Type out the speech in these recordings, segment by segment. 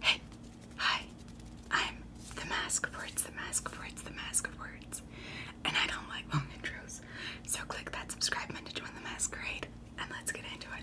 Hey, hi, I'm the Mask of Words, the Mask of Words, the Mask of Words, and I don't like long intros, so click that subscribe button to join the masquerade, and let's get into it.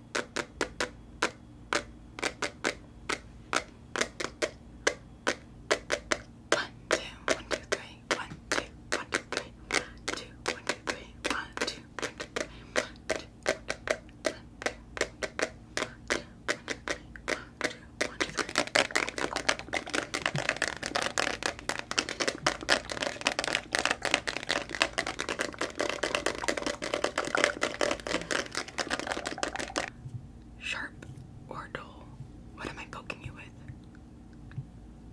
One, two, one, two, three, one, two, one, two, three, one, two, one, two, three, one, two, one, two, three, one, two, one, two, three, one, two, Sharp or dull? What am I poking you with?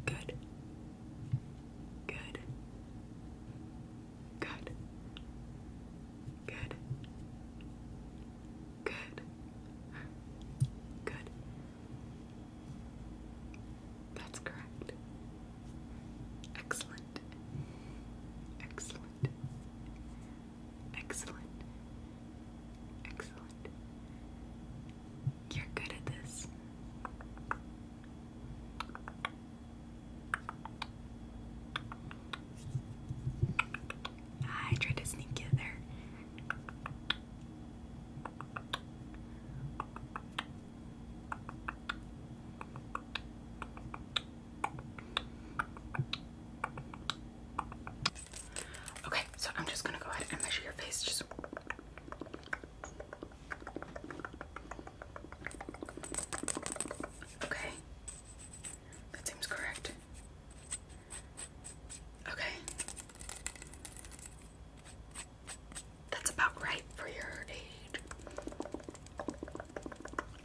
Good. Good. Good. Good. Good. Good. That's correct. Excellent. Excellent. Excellent. Excellent. You're good at this. I tried to sneak you there. Okay, so I'm just gonna go ahead and measure your face. okay. That seems correct. Okay. That's about right for your age.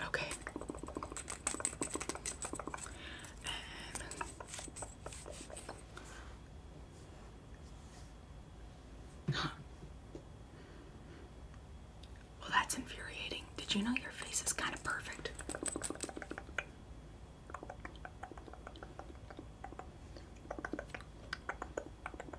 Okay. Um, well, that's infuriating. Did you know your face is kind of perfect?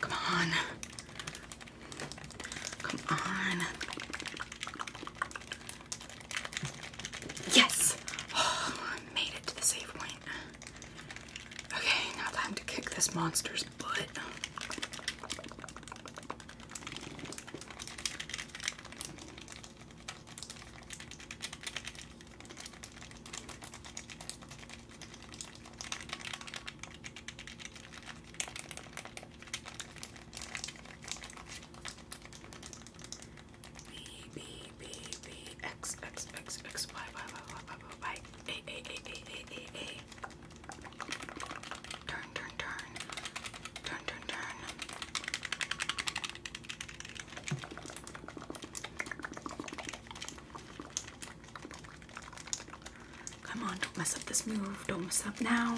Come on. Come on. Yes. Oh, I made it to the safe one. Okay, now time to kick this monster's butt. B B B B X X X X Y Y Y Y Y Y A A A A A A A turn turn turn turn turn Come on, don't mess up this move. Don't mess up now.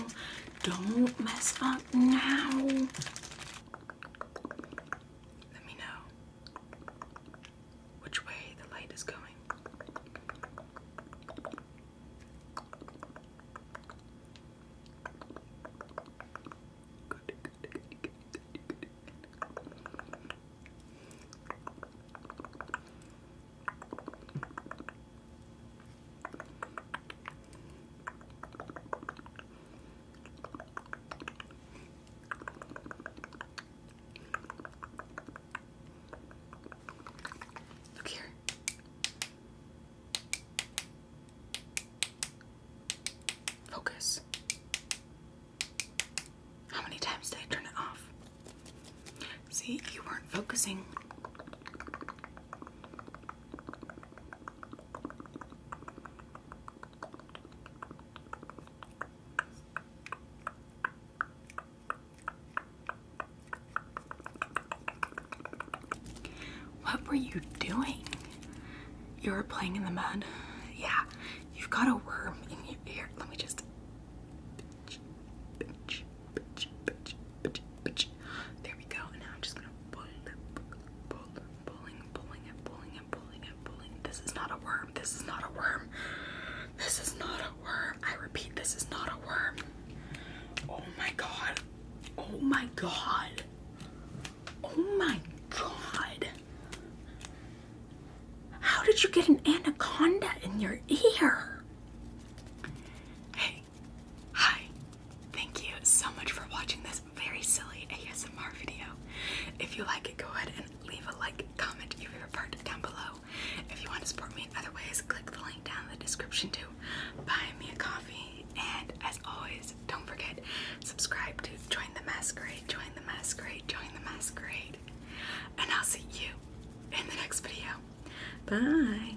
Don't mess up now. Let me know which way the light is going. Look here. Focus. How many times did I turn it off? See, you weren't focusing. What were you doing? You were playing in the mud. Yeah, you've got a worm in your ear. Let me just. There we go. now I'm just gonna pulling, pulling, pulling, pulling and pulling and pulling and pulling. This is not a worm. This is not a worm. This is not a worm. I repeat, this is not a worm. Oh my god. Oh my god. Oh my god. How did you get an anaconda in your ear? Hey. Hi. Thank you so much for watching this very silly ASMR video. If you like it, go ahead and leave a like, comment, your favorite part down below. If you want to support me in other ways, click the link down in the description to buy me a coffee. And as always, don't forget, subscribe to Join the Masquerade, Join the Masquerade, Join the Masquerade. And I'll see you in the next video. Bye.